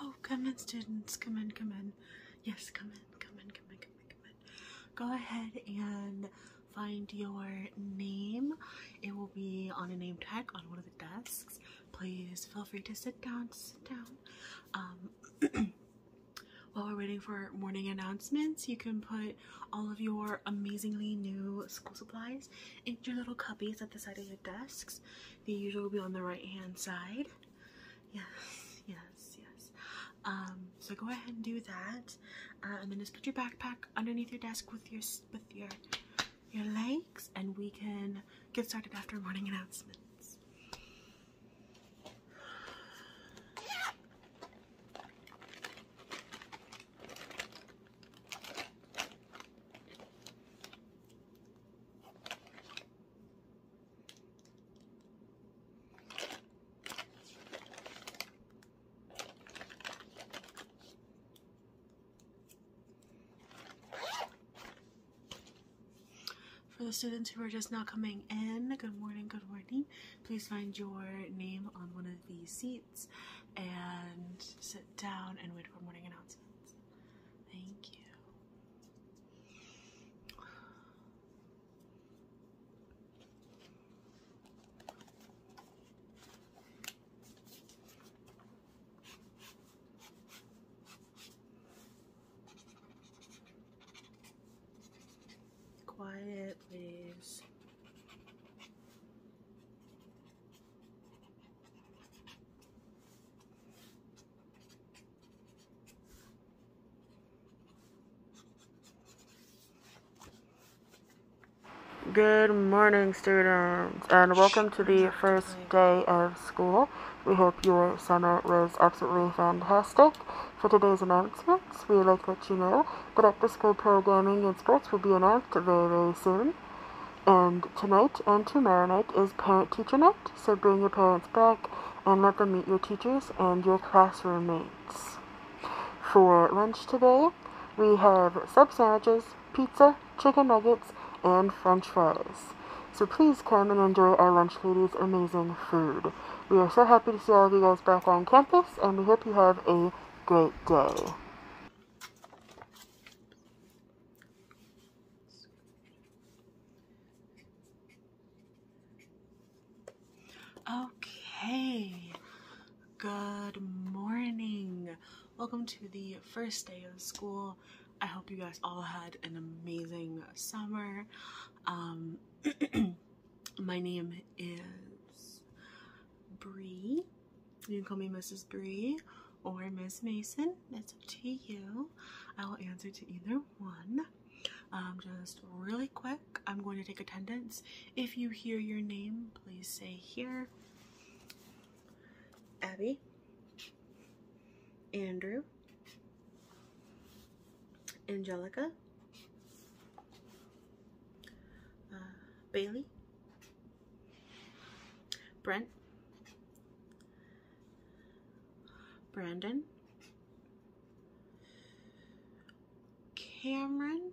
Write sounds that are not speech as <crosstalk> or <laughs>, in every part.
Oh, come in, students. Come in, come in. Yes, come in, come in, come in, come in, come in. Go ahead and find your name. It will be on a name tag on one of the desks. Please feel free to sit down, sit down. Um, <clears throat> while we're waiting for morning announcements, you can put all of your amazingly new school supplies into your little cubbies at the side of your desks. They usually will be on the right hand side. Yes, yes, yes. Um, so go ahead and do that, uh, and then just put your backpack underneath your desk with your with your your legs, and we can get started after morning announcements. For the students who are just now coming in, good morning, good morning. Please find your name on one of the seats and sit down and wait for morning announcements. Thank you. Quiet, please. Good morning, students, and welcome to the first day of school. We hope your summer was absolutely fantastic. For today's announcement, sports. We like to let you know that after school programming and sports will be announced very, very soon. And tonight and tomorrow night is parent teacher night, so bring your parents back and let them meet your teachers and your classroom mates. For lunch today, we have sub sandwiches, pizza, chicken nuggets, and french fries. So please come and enjoy our lunch ladies' amazing food. We are so happy to see all of you guys back on campus, and we hope you have a glow glow. Okay, good morning. Welcome to the first day of school. I hope you guys all had an amazing summer. Um, <clears throat> My name is Bree. You can call me Mrs. Bree or Ms. Mason. That's up to you. I will answer to either one. Um, just really quick, I'm going to take attendance. If you hear your name, please say here. Abby. Andrew. Angelica. Uh, Bailey, Brent, Brandon, Cameron,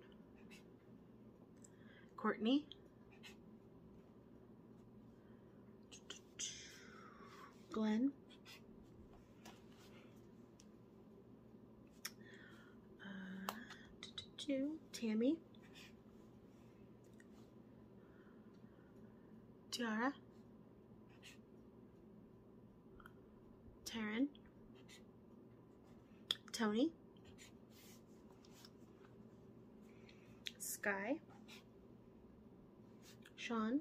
Courtney, Glenn, uh, Tammy. Tiara. Taryn. Tony. Sky. Sean.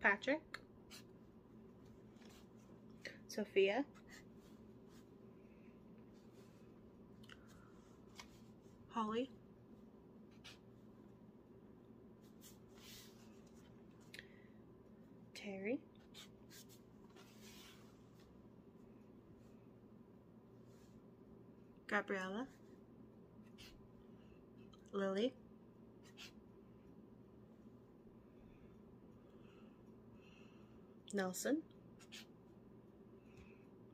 Patrick, Sophia, Holly, Terry, Gabriella, Lily, Nelson,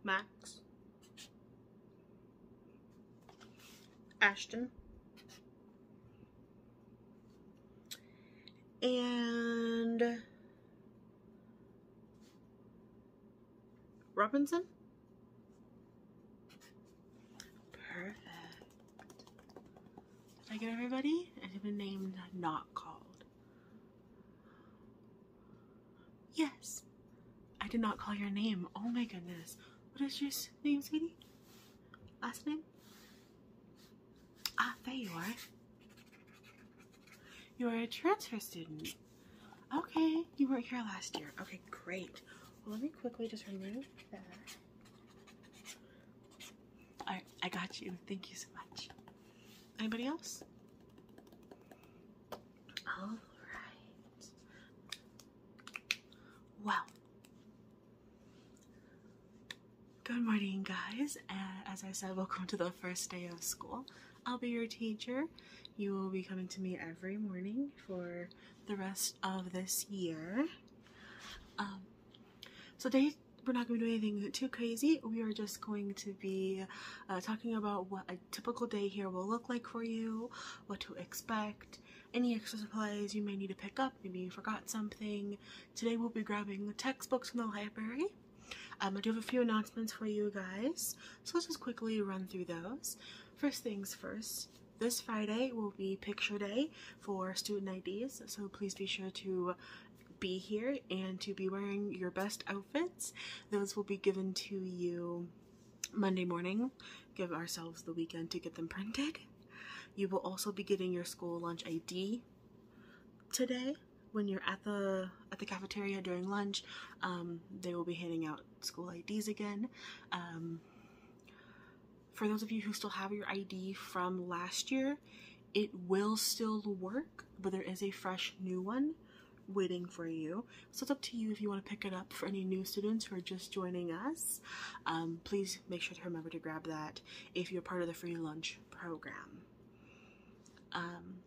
Max, Ashton, and Robinson? Perfect. Did I get everybody? I have a name not called. Yes. I did not call your name. Oh my goodness. What is your name, sweetie? Last name? Ah, there you are. You're a transfer student. Okay, you weren't here last year. Okay, great. Well, let me quickly just remove that. All right, I got you. Thank you so much. Anybody else? All right. Well, good morning, guys. as I said, welcome to the first day of school. I'll be your teacher. You will be coming to me every morning for the rest of this year. Um, so today we're not going to do anything too crazy. We are just going to be uh, talking about what a typical day here will look like for you, what to expect, any extra supplies you may need to pick up, maybe you forgot something. Today we'll be grabbing the textbooks from the library um, I do have a few announcements for you guys, so let's just quickly run through those. First things first, this Friday will be picture day for student IDs, so please be sure to be here and to be wearing your best outfits. Those will be given to you Monday morning. Give ourselves the weekend to get them printed. You will also be getting your school lunch ID today when you're at the at the cafeteria during lunch, um, they will be handing out school IDs again. Um, for those of you who still have your ID from last year, it will still work, but there is a fresh new one waiting for you. So it's up to you if you want to pick it up for any new students who are just joining us. Um, please make sure to remember to grab that if you're part of the free lunch program. Um,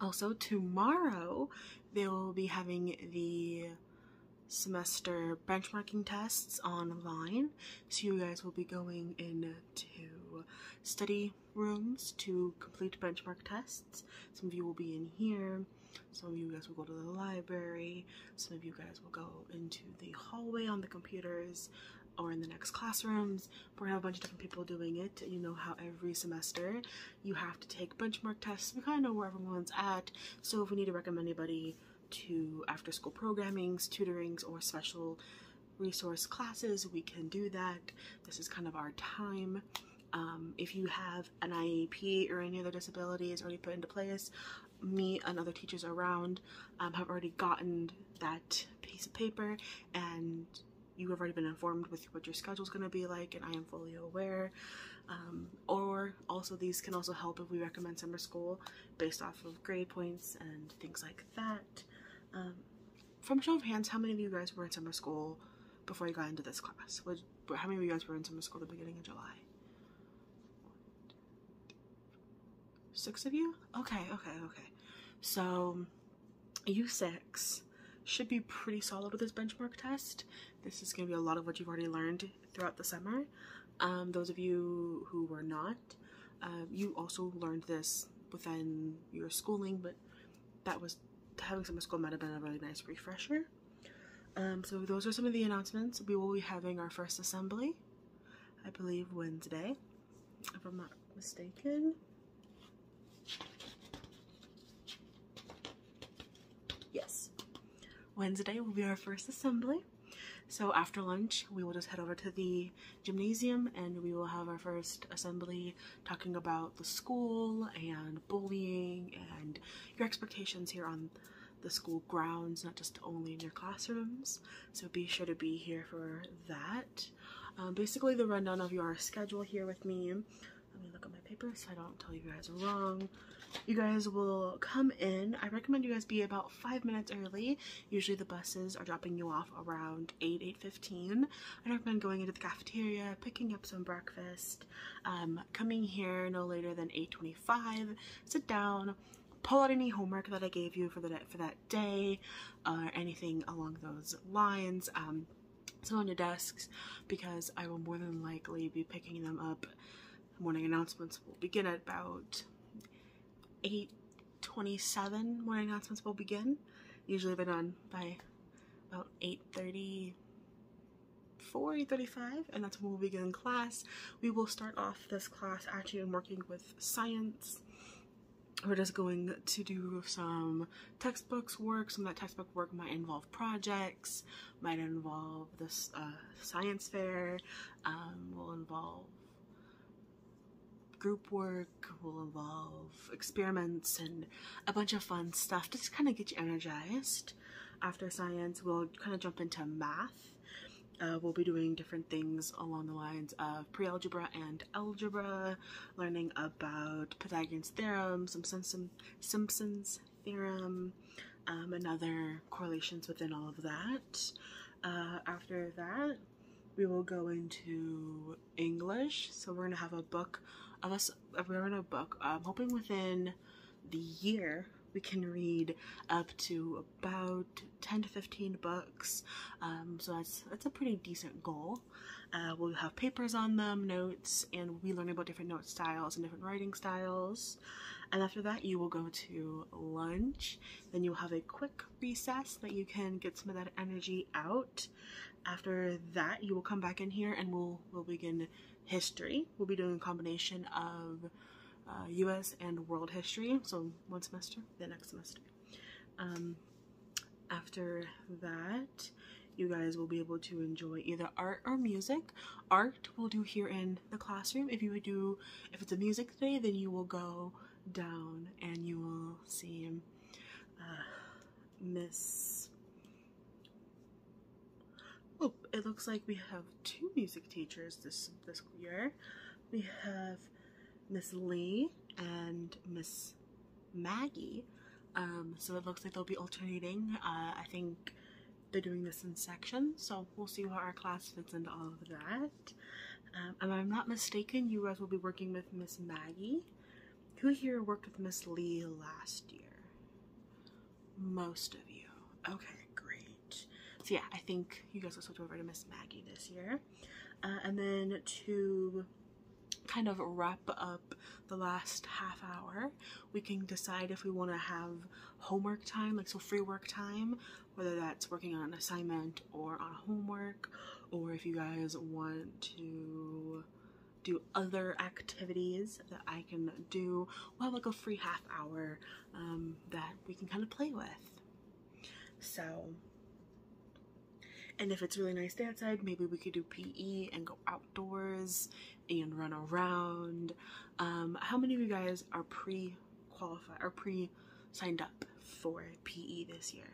also, tomorrow they will be having the semester benchmarking tests online. So you guys will be going into study rooms to complete benchmark tests. Some of you will be in here. Some of you guys will go to the library. Some of you guys will go into the hallway on the computers or in the next classrooms we're gonna have a bunch of different people doing it. You know how every semester you have to take benchmark tests. We kind of know where everyone's at. So if we need to recommend anybody to after school programings, tutorings, or special resource classes, we can do that. This is kind of our time. Um, if you have an IEP or any other disabilities is already put into place, me and other teachers around um, have already gotten that piece of paper and you have already been informed with what your schedule is going to be like and I am fully aware um, or also these can also help if we recommend summer school based off of grade points and things like that um, from show of hands how many of you guys were in summer school before you got into this class how many of you guys were in summer school at the beginning of July six of you okay okay okay so U6 should be pretty solid with this benchmark test. This is going to be a lot of what you've already learned throughout the summer. Um, those of you who were not, um, you also learned this within your schooling, but that was having summer school might have been a really nice refresher. Um, so those are some of the announcements. We will be having our first assembly, I believe Wednesday if I'm not mistaken. Yes. Wednesday will be our first assembly. So after lunch, we will just head over to the gymnasium and we will have our first assembly talking about the school and bullying and your expectations here on the school grounds, not just only in your classrooms. So be sure to be here for that. Uh, basically the rundown of your schedule here with me. Let me look at my paper so I don't tell you guys wrong. You guys will come in. I recommend you guys be about five minutes early. Usually the buses are dropping you off around 8, 8.15. I recommend going into the cafeteria, picking up some breakfast, um, coming here no later than 8.25, sit down, pull out any homework that I gave you for that day uh, or anything along those lines. Um, so on your desks because I will more than likely be picking them up. Morning announcements will begin at about 8.27. Morning announcements will begin. Usually they're done by about 8.30, 4.35 and that's when we'll begin class. We will start off this class actually working with science we're just going to do some textbooks work. Some that textbook work might involve projects, might involve this uh, science fair, um, will involve group work, will involve experiments and a bunch of fun stuff just kind of get you energized. After science, we'll kind of jump into math. Uh, we'll be doing different things along the lines of pre-algebra and algebra learning about Pythagorean's theorem, some Simpson's theorem, um, and other correlations within all of that. Uh, after that, we will go into English. So we're gonna have a book, unless we're in a book. I'm hoping within the year we can read up to about 10 to 15 books um, so that's that's a pretty decent goal uh, we'll have papers on them notes and we learn about different note styles and different writing styles and after that you will go to lunch then you'll have a quick recess that you can get some of that energy out after that you will come back in here and we'll we'll begin history we'll be doing a combination of uh, US and world history so one semester the next semester um, after that, you guys will be able to enjoy either art or music. Art will do here in the classroom. If you would do, if it's a music day, then you will go down and you will see uh, Miss. Oh, it looks like we have two music teachers this this year. We have Miss Lee and Miss Maggie. Um, so it looks like they'll be alternating. Uh, I think they're doing this in sections, so we'll see how our class fits into all of that. Um, I'm not mistaken, you guys will be working with Miss Maggie. Who here worked with Miss Lee last year? Most of you. Okay, great. So yeah, I think you guys will switch over to Miss Maggie this year. Uh, and then to kind of wrap up the last half hour, we can decide if we want to have homework time, like so free work time, whether that's working on an assignment or on homework, or if you guys want to do other activities that I can do. We'll have like a free half hour um, that we can kind of play with. So and if it's really nice outside, maybe we could do PE and go outdoors and run around. Um, how many of you guys are pre-qualified or pre-signed up for PE this year?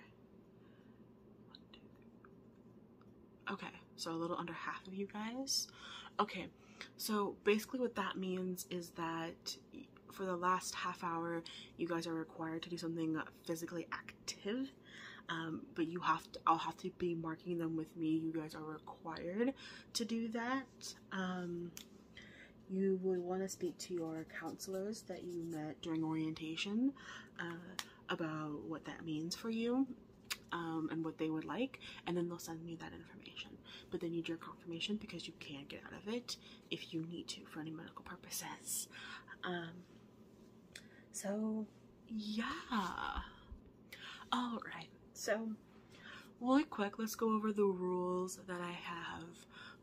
Okay, so a little under half of you guys. Okay, so basically what that means is that for the last half hour, you guys are required to do something physically active. Um, but you have to, I'll have to be marking them with me. You guys are required to do that. Um, you would want to speak to your counselors that you met during orientation uh, about what that means for you um, and what they would like, and then they'll send you that information. But they need your confirmation because you can't get out of it if you need to for any medical purposes. Um, so, yeah. All right. So, really quick, let's go over the rules that I have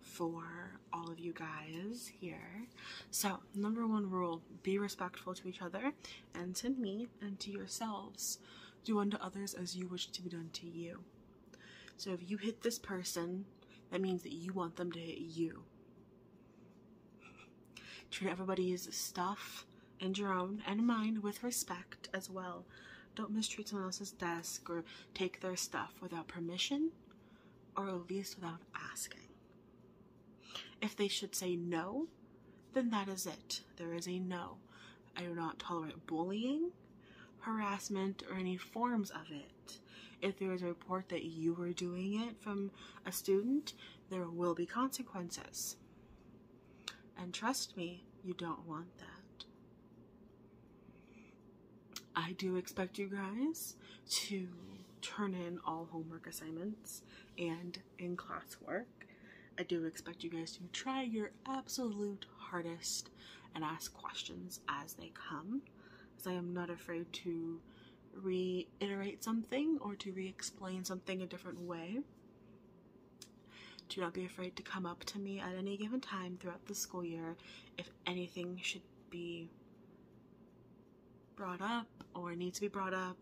for all of you guys here. So, number one rule be respectful to each other and to me and to yourselves. Do unto others as you wish to be done to you. So if you hit this person, that means that you want them to hit you. Treat everybody's stuff and your own and mine with respect as well. Don't mistreat someone else's desk or take their stuff without permission or at least without asking. If they should say no, then that is it. There is a no. I do not tolerate bullying, harassment, or any forms of it. If there is a report that you were doing it from a student, there will be consequences. And trust me, you don't want that. I do expect you guys to turn in all homework assignments and in class work. I do expect you guys to try your absolute hardest and ask questions as they come as I am not afraid to reiterate something or to re-explain something a different way. Do not be afraid to come up to me at any given time throughout the school year if anything should be brought up or need to be brought up.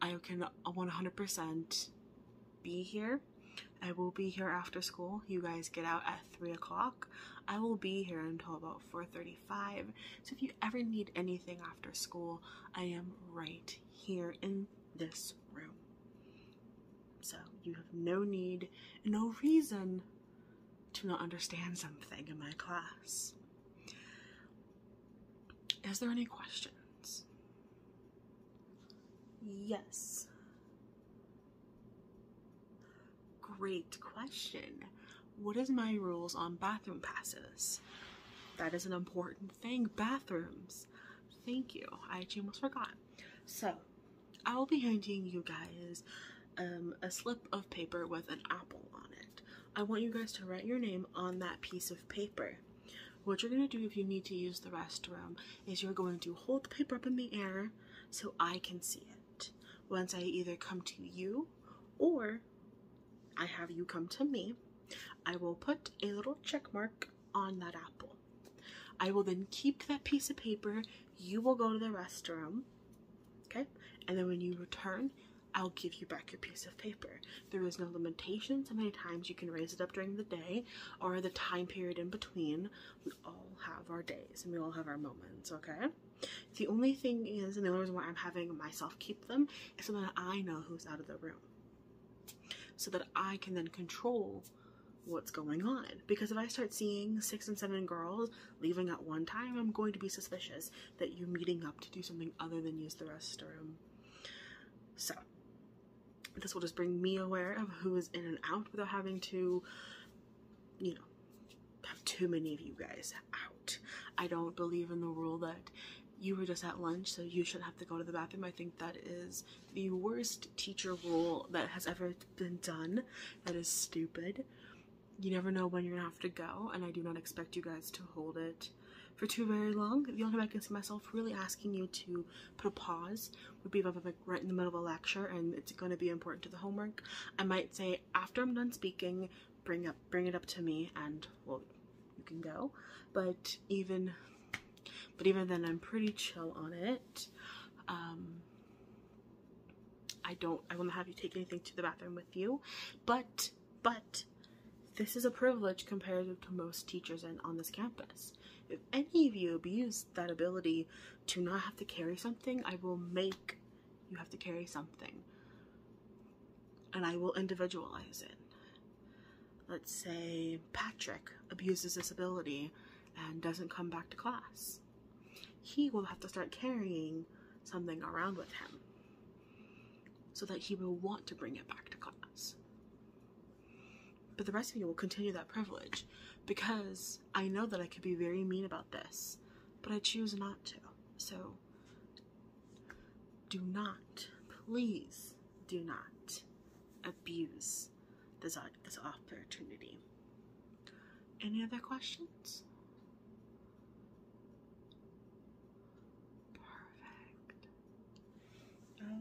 I can 100% be here. I will be here after school. You guys get out at 3 o'clock. I will be here until about 4.35. So if you ever need anything after school, I am right here in this room. So you have no need, no reason to not understand something in my class. Is there any questions? Yes. Great question. What is my rules on bathroom passes? That is an important thing. Bathrooms. Thank you. I almost forgot. So, I will be handing you guys um, a slip of paper with an apple on it. I want you guys to write your name on that piece of paper. What you're going to do if you need to use the restroom is you're going to hold the paper up in the air so I can see it once I either come to you or I have you come to me, I will put a little check mark on that apple. I will then keep that piece of paper. You will go to the restroom, okay? And then when you return, I'll give you back your piece of paper. There is no limitation how many times you can raise it up during the day or the time period in between we all have our days and we all have our moments, okay? The only thing is, and the only reason why I'm having myself keep them is so that I know who's out of the room. So that I can then control what's going on. Because if I start seeing six and seven girls leaving at one time, I'm going to be suspicious that you're meeting up to do something other than use the restroom. So, this will just bring me aware of who is in and out without having to, you know, have too many of you guys out. I don't believe in the rule that you were just at lunch, so you should have to go to the bathroom. I think that is the worst teacher rule that has ever been done. That is stupid. You never know when you're gonna have to go, and I do not expect you guys to hold it for too very long. The only thing I can see myself really asking you to put a pause would be like right in the middle of a lecture and it's going to be important to the homework. I might say after I'm done speaking, bring up bring it up to me and well, you can go. But even but even then I'm pretty chill on it. Um, I don't I will not have you take anything to the bathroom with you. But but this is a privilege compared to most teachers and on this campus. If any of you abuse that ability to not have to carry something, I will make you have to carry something. And I will individualize it. Let's say Patrick abuses this ability and doesn't come back to class. He will have to start carrying something around with him so that he will want to bring it back to class. But the rest of you will continue that privilege because I know that I could be very mean about this, but I choose not to. So do not, please do not abuse this, uh, opportunity. Any other questions? Perfect.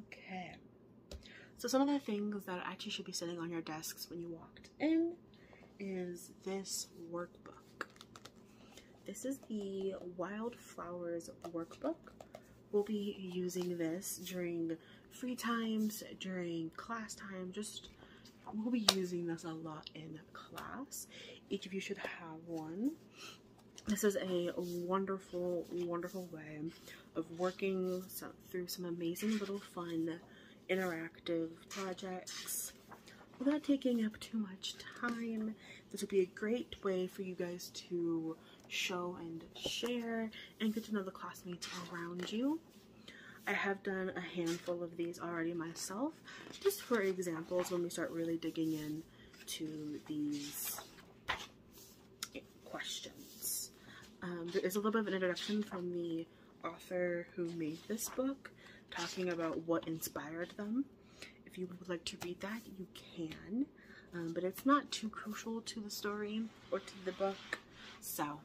Okay. So some of the things that actually should be sitting on your desks when you walked in is this workbook. This is the Wildflowers workbook. We'll be using this during free times, during class time, just we'll be using this a lot in class. Each of you should have one. This is a wonderful, wonderful way of working through some amazing little fun interactive projects without taking up too much time. This would be a great way for you guys to show and share and get to know the classmates around you. I have done a handful of these already myself, just for examples when we start really digging in to these questions. Um, there is a little bit of an introduction from the author who made this book talking about what inspired them. If you would like to read that, you can. Um, but it's not too crucial to the story or to the book, so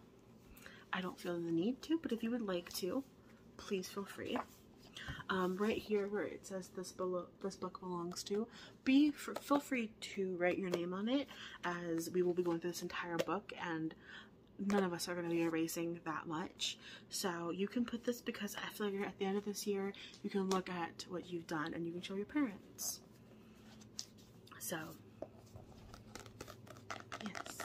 I don't feel the need to. But if you would like to, please feel free. Um, right here where it says this below this book belongs to be feel free to write your name on it as we will be going through this entire book and none of us are going to be erasing that much. So you can put this because I feel like at the end of this year, you can look at what you've done and you can show your parents. So, yes.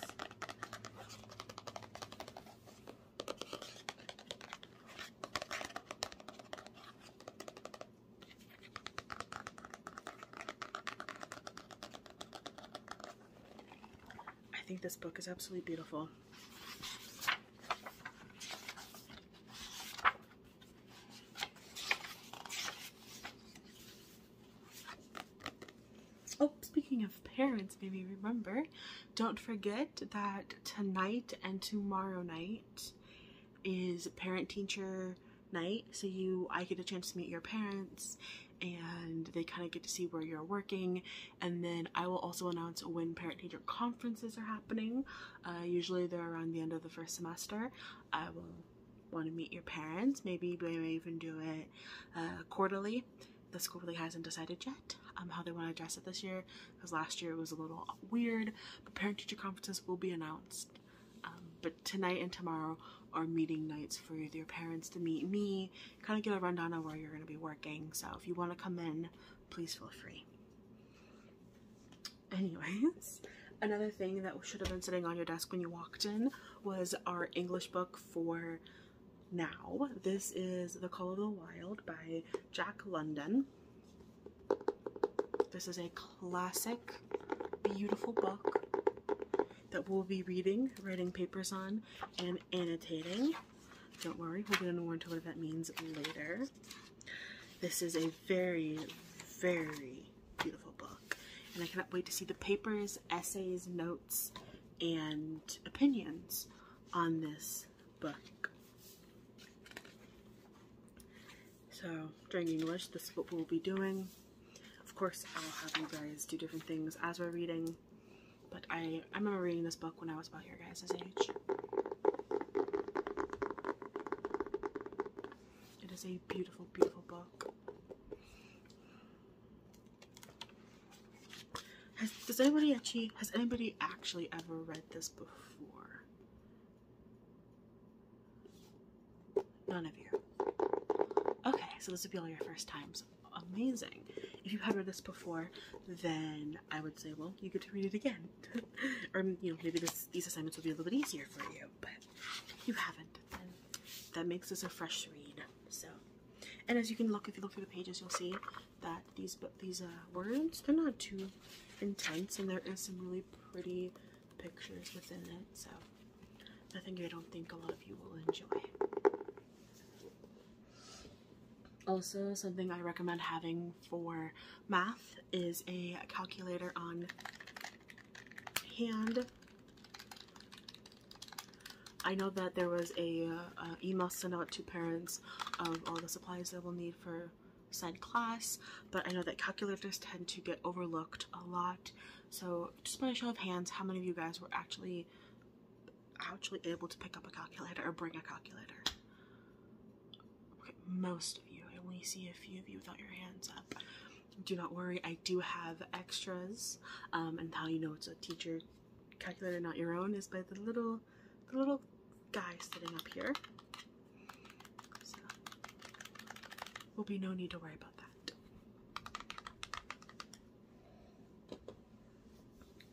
I think this book is absolutely beautiful. Oh, speaking of parents, maybe remember, don't forget that tonight and tomorrow night is parent teacher night so you I get a chance to meet your parents and they kind of get to see where you're working and then I will also announce when parent teacher conferences are happening uh, usually they're around the end of the first semester I will want to meet your parents maybe we may even do it uh, quarterly the school really hasn't decided yet um, how they want to address it this year because last year it was a little weird but parent teacher conferences will be announced um, but tonight and tomorrow are meeting nights for your parents to meet me, kind of get a rundown of where you're going to be working. So if you want to come in, please feel free. Anyways, <laughs> another thing that should have been sitting on your desk when you walked in was our English book for now. This is The Call of the Wild by Jack London. This is a classic, beautiful book that we'll be reading, writing papers on, and annotating. Don't worry, we'll get into more into what that means later. This is a very, very beautiful book, and I cannot wait to see the papers, essays, notes, and opinions on this book. So during English, this is what we'll be doing. Of course, I'll have you guys do different things as we're reading. But I, I remember reading this book when I was about your guys' age. It is a beautiful, beautiful book. Has, does anybody actually, has anybody actually ever read this before? None of you. Okay, so this would be all your first times. Amazing. If you have read this before, then I would say, well, you get to read it again. <laughs> or, you know, maybe this, these assignments will be a little bit easier for you, but you haven't, then that makes this a fresh read. So, and as you can look, if you look through the pages, you'll see that these these uh, words, they're not too intense, and there is some really pretty pictures within it. So I think I don't think a lot of you will enjoy. Also, something I recommend having for math is a calculator on hand. I know that there was a uh, email sent out to parents of all the supplies they will need for said class, but I know that calculators tend to get overlooked a lot so just by a show of hands, how many of you guys were actually actually able to pick up a calculator or bring a calculator? most of you. I only see a few of you without your hands up. Do not worry, I do have extras. Um, and how you know it's a teacher calculator, not your own, is by the little the little guy sitting up here. So will be no need to worry about that.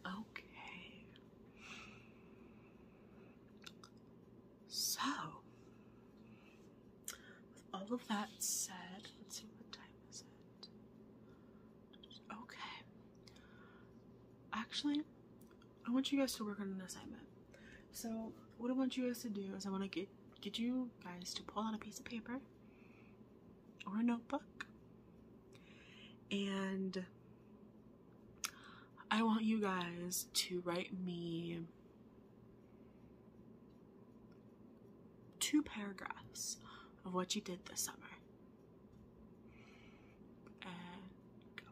Okay. So, with all of that said, let's see what time is it. Okay. Actually, I want you guys to work on an assignment. So what I want you guys to do is I want to get get you guys to pull out a piece of paper or a notebook and I want you guys to write me two paragraphs of what you did this summer. go.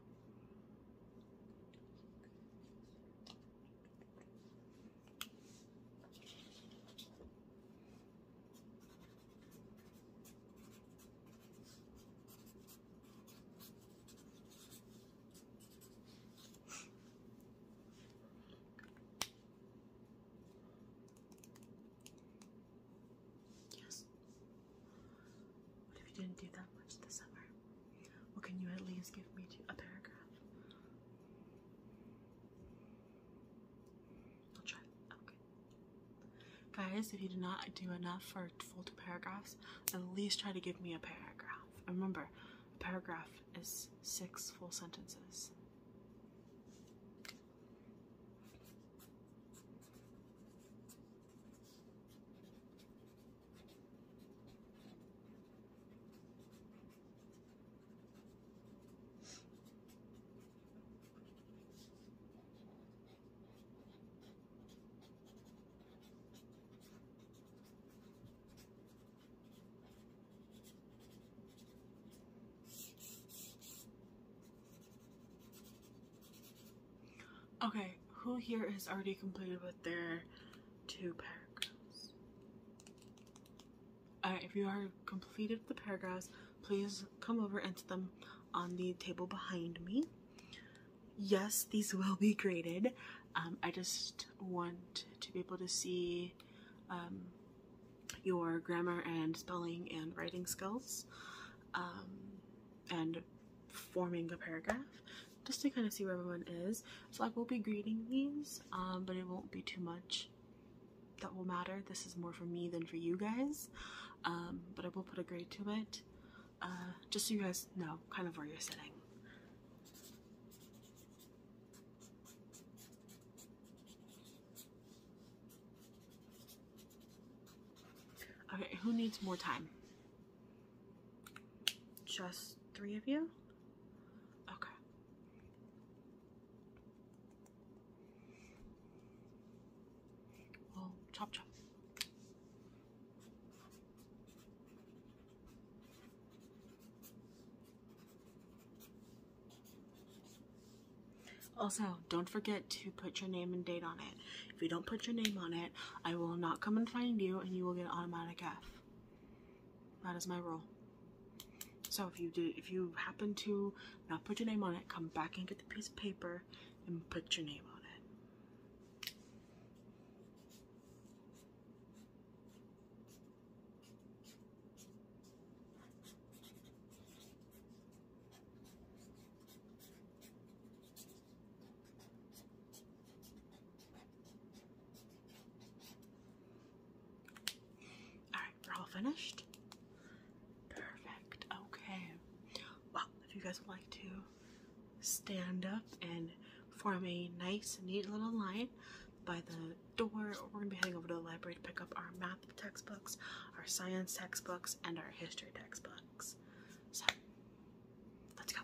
Yes. What if you didn't do that much this summer? Well, can you at least give me a paragraph? I'll try. Okay. Guys, if you do not do enough for full two paragraphs, at least try to give me a paragraph. Remember, a paragraph is six full sentences. Okay, who here has already completed with their two paragraphs. Alright, if you have completed the paragraphs, please come over and set them on the table behind me. Yes, these will be graded. Um, I just want to be able to see um, your grammar and spelling and writing skills um, and forming a paragraph just to kind of see where everyone is. So I will be grading these, um, but it won't be too much that will matter. This is more for me than for you guys, um, but I will put a grade to it, uh, just so you guys know kind of where you're sitting. Okay, who needs more time? Just three of you? Okay. Well, chop chop. Also, don't forget to put your name and date on it. If you don't put your name on it, I will not come and find you and you will get an automatic F. That is my rule. So if you do, if you happen to not put your name on it, come back and get the piece of paper and put your name on it. Alright, we're all finished. Perfect. Okay. Well, if you guys would like to stand up and form a nice, neat little line by the door, we're going to be heading over to the library to pick up our math textbooks, our science textbooks, and our history textbooks. So, let's go.